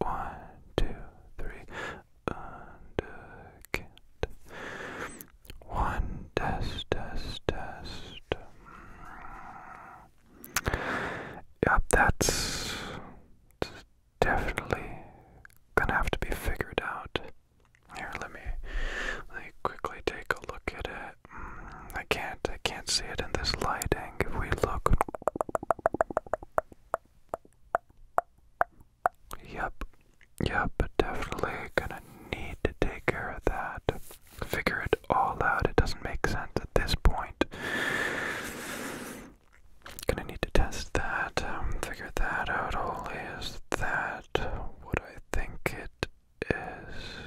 One, two, three, and a cat. One, test, test, test. Yep, that's definitely gonna have to be figured out. Here, let me, let me quickly take a look at it. Mm, I can't, I can't see it in this lighting. If we look, Yep, yep, definitely gonna need to take care of that. Figure it all out. It doesn't make sense at this point. Gonna need to test that, um, figure that out. Only is that what I think it is?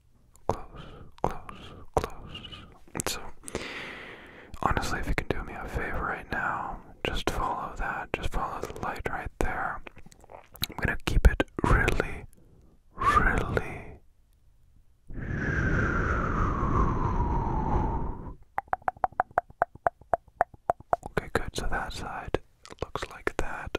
close, close, close. So, honestly, if you can do me a favor right now, just follow that, just follow the light right there. I'm gonna keep it really, really. Okay, good. So that side looks like that.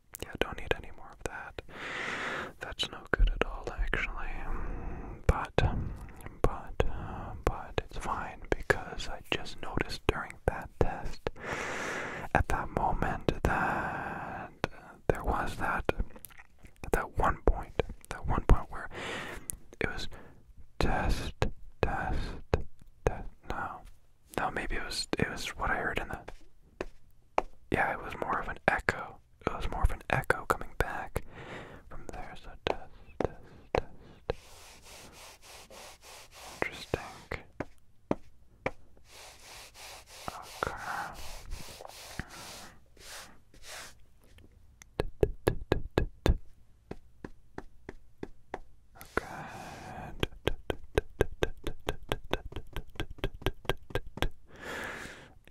Yeah, don't need any more of that. That's no good at all, actually. But, um, but, uh, but it's fine because I just noticed during that test at that moment that there was that that one point, that one point where it was test, test, test. No, no, maybe it was it was what I heard in the yeah, it was more of an echo. It was more of an echo coming back from there. So test, test, test. Interesting. Okay. Good.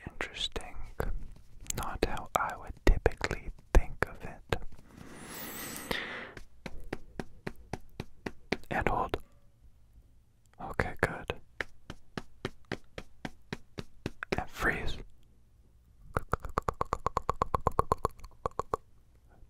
Interesting. Not how I would typically think of it. And hold. Okay, good. And freeze.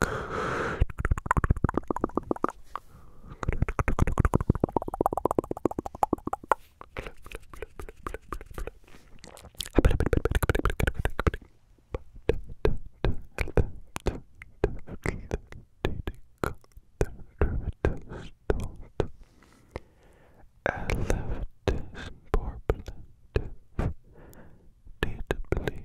I love this Deeply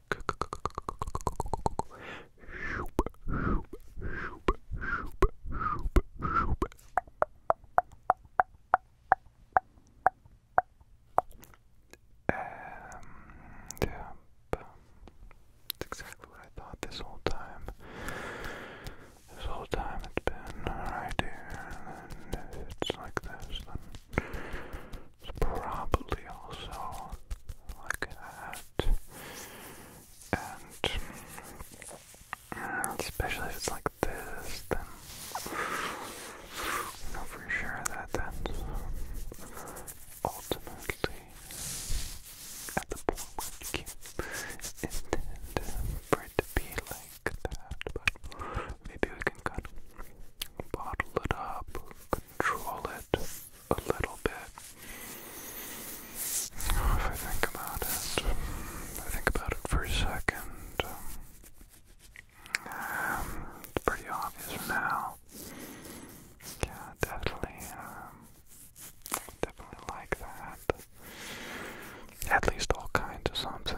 And um, yeah, that's exactly what I thought this whole time. This whole time it's been right here, and if it's like this, then it's probably also like that and uh, especially if it's like this, then you know for sure that that's ultimately at the point where intend for it to be like that, maybe we can kind of bottle it up, control it a little bit. Oh, if I think about it, I think about it for a second. Um, it's pretty obvious now. Yeah, definitely, um, definitely like that. At least all kinds of something.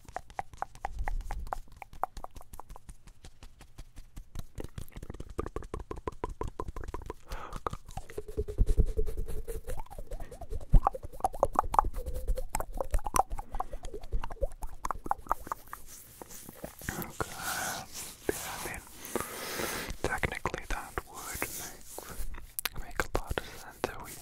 Okay, I mean, technically that would make, make a lot of sense. So we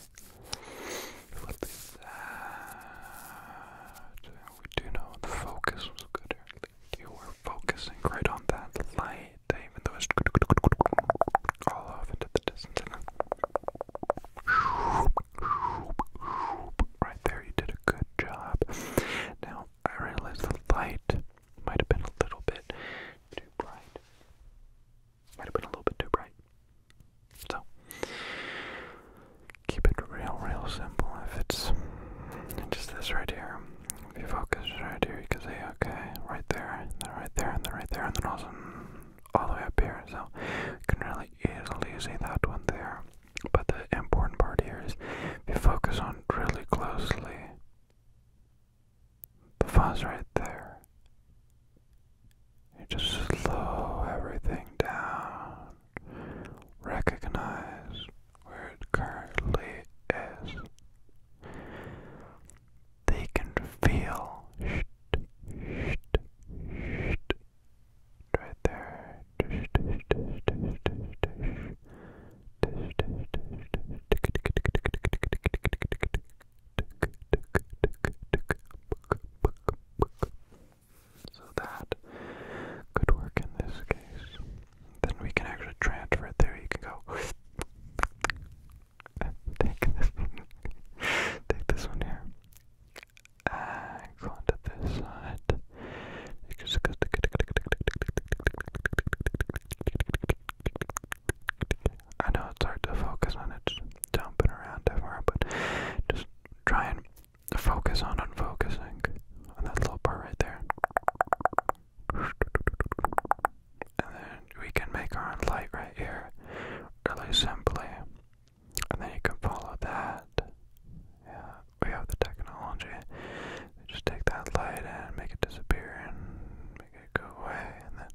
what is that? We do know the focus was good earlier. You were focusing right on that light, even though it's all off into the distance. right there, you did a good job. Now, I realize the light might have been a little bit too bright. Might have been a little bit too bright. So, keep it real, real simple. If it's just this right here, if you focus right here, you can see, okay, right there, then right there, and then right there, and then also all the way up here. So, you can really easily see that one there. But the important part here is if you focus on really closely the fuzz right there you just slow everything down. Recognize where it currently is. They can feel shht, shht, shht, right there. So that could work in this case. Then we can actually transfer it there. You can go take this take this one here. Uh, go onto this side. I know it's hard to focus on it, jumping around everywhere, but just try and focus on unfocusing on that little part right there. And then we can make our own light right here really simply. And then you can follow that. Yeah, we have the technology. Just take that light and make it disappear and make it go away and then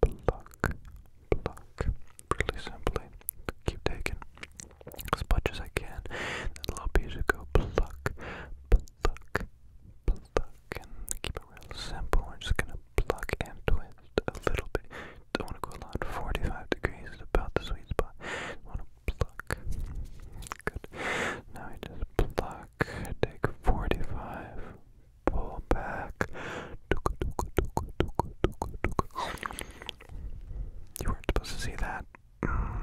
pluck, pluck. Really simply, keep taking as much as I can. That little piece of go pluck, pluck, pluck, and keep it real simple. We're just gonna pluck and twist a little bit. Don't want to go a lot. 45 degrees is about the sweet spot. Want to pluck. Good. Now we just pluck. Take 45 pull back. You weren't supposed to see that. Mm,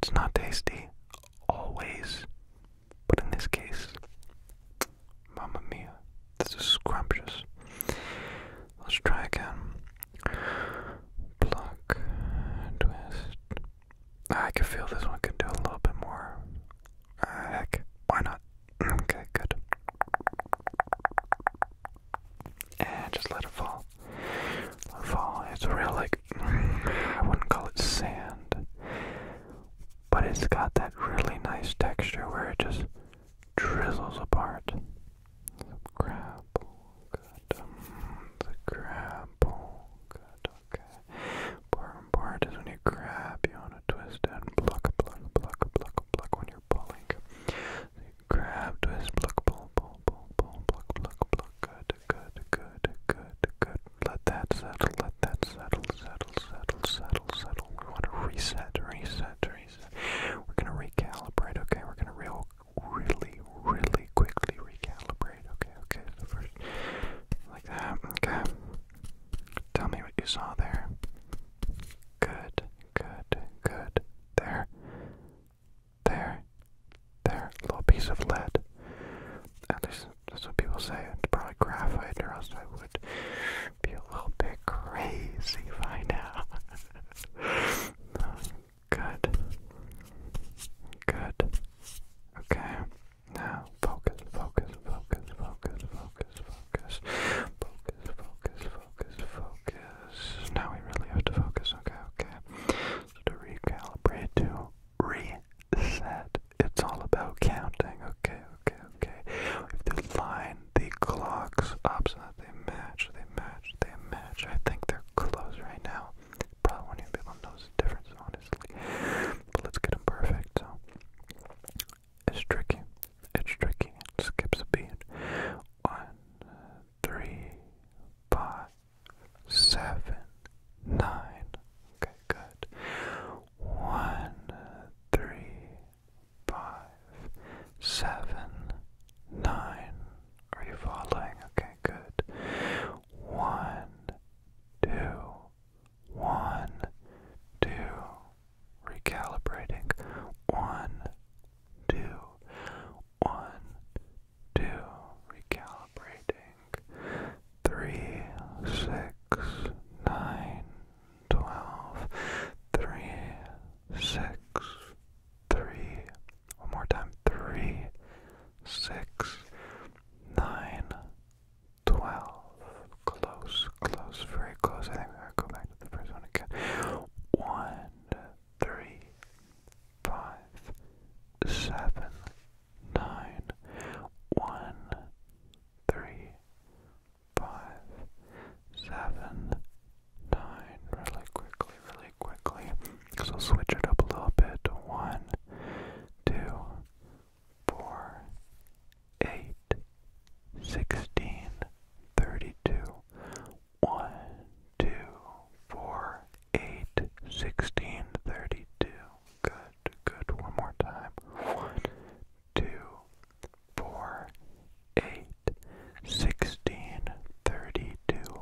it's not tasty, always. But in this case, mamma mia, this is scrumptious. Let's try again. Pluck, twist. Ah, I can feel this one can do a little bit more. Ah, heck, why not? Okay, good. And just let it fall. fall. It's a real, like, I wouldn't call it sand, but it's got that really nice texture where it just drizzles apart. Mm, the grapple, good. the grapple, good. Okay. More important is when you grab, you want to twist and pluck, pluck, pluck, pluck, pluck when you're pulling. you grab, twist, pluck, pull, pull, pull, pull, pluck, pluck, Good, good, good, good, good. Let that settle, let that settle, settle, settle, settle, settle. We want to reset, reset, reset. We're going to recalibrate, okay? We're going to real, really, really quickly recalibrate, okay? Okay, first, like that, okay? Tell me what you saw there. Good, good, good. There. There. There. Little piece of lead. At least that's what people say. It's probably graphite, or else I would be a little bit crazy by now. good. Good. Okay. Now focus, focus, focus, focus, focus, focus, focus, focus, focus, focus. Now we really have to focus. Okay, okay. to recalibrate, to reset, it's all about counting. Okay, okay, okay. We have line the clocks up so that they match. They match. They match. I think they're close right now. Probably won't even be the difference, honestly. But let's get them perfect. So it's tricky. It's tricky. It skips a beat. One, three, five, seven, nine. Okay, good. One, three, five, seven, nine. Are you following? Okay, good. One, two, one, two, recalibrating. One, two, one, two, recalibrating. Three, six, nine, twelve, three, six, three. One more time. Three, six, nine, twelve. Close, close, very close. I think we gotta go back to the first one again. One, three, five, seven, nine, one, three, five, seven, nine. Really quickly, really quickly. So switch it up a little bit. One, two, four, eight, sixteen, thirty-two, one, two, four, eight, sixteen, thirty-two. Good, good. One more time. One, two, four, eight, sixteen, thirty-two.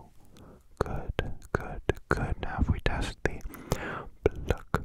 Good, good, good. Now if we test the pluck,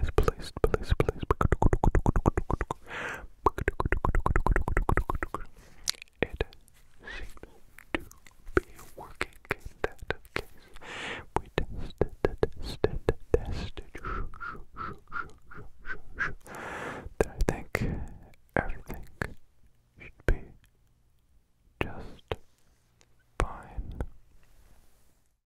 is placed, placed, placed it seems to be working in that case. We tested, tested, tested, shoo, shoo, shoo, shoo, shoo, shoo, that I think everything should be just fine.